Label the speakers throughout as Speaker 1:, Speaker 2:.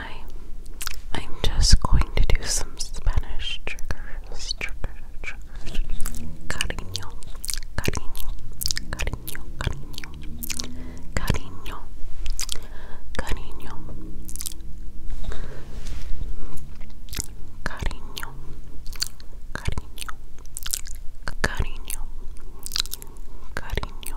Speaker 1: time, I'm just going to do some Spanish triggers, triggers, triggers. Cariño, cariño, cariño, cariño, cariño, cariño, cariño, cariño, cariño, cariño. Cariño,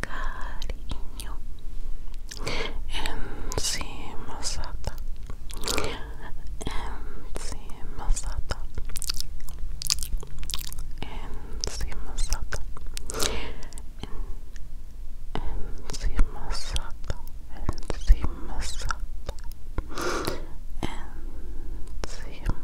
Speaker 1: cariño, encima sata, encima sata, encima sata, encima sata, encima sata, encima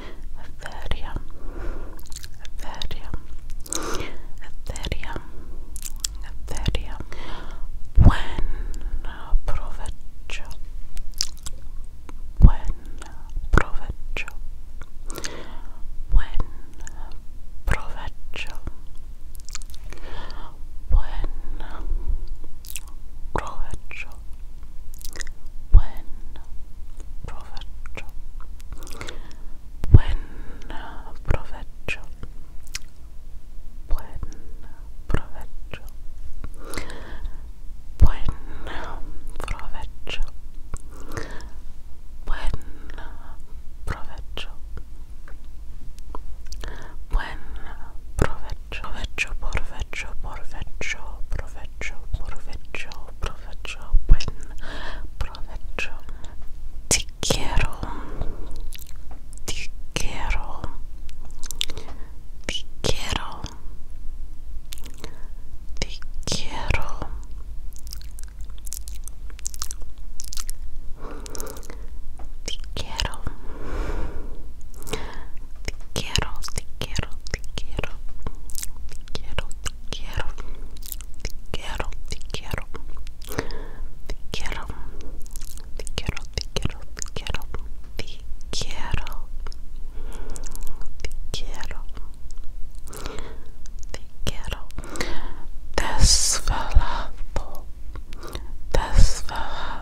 Speaker 1: Ethereum, Ethereum, Ethereum, Ethereum. When uh, provecho, when uh, provecho, when uh, provecho, when provecho when Prophet when Prophet when Prophet when Prophet when Prophet when Prophet provecho, provecho, provecho, provecho, provecho, provecho, buen provecho. Te quiero, te quiero, te quiero, te quiero. Te quiero. Te quiero, te quiero, te quiero. Te quiero, te quiero. Te quiero, te quiero. Te quiero. Te quiero, te quiero, te quiero. Te quiero. Te quiero. Te quiero. Desvelado. Desvelado.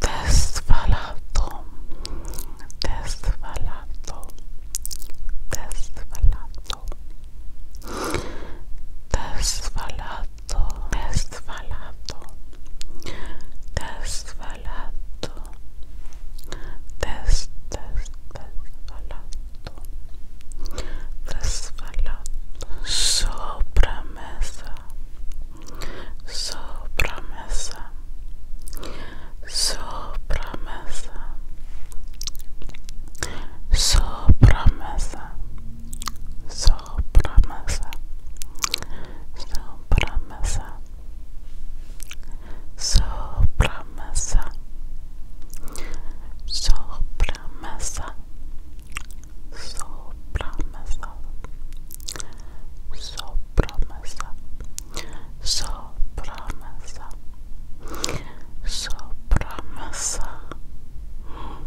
Speaker 1: Desfalato, desfalato, desfalato, desfalato, desfalato, desfalato balato this this this balato this balato sopra mesa sopra mesa sopra mesa sopra mesa sopra so promesa, so promesa, so promesa, so promesa,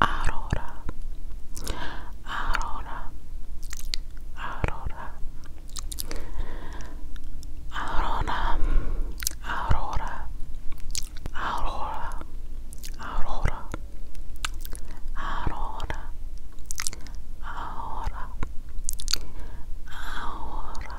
Speaker 1: Aurora, Aurora, Aurora, Aurora, Aurora, Aurora, Aurora, Aurora, Aurora, Aurora.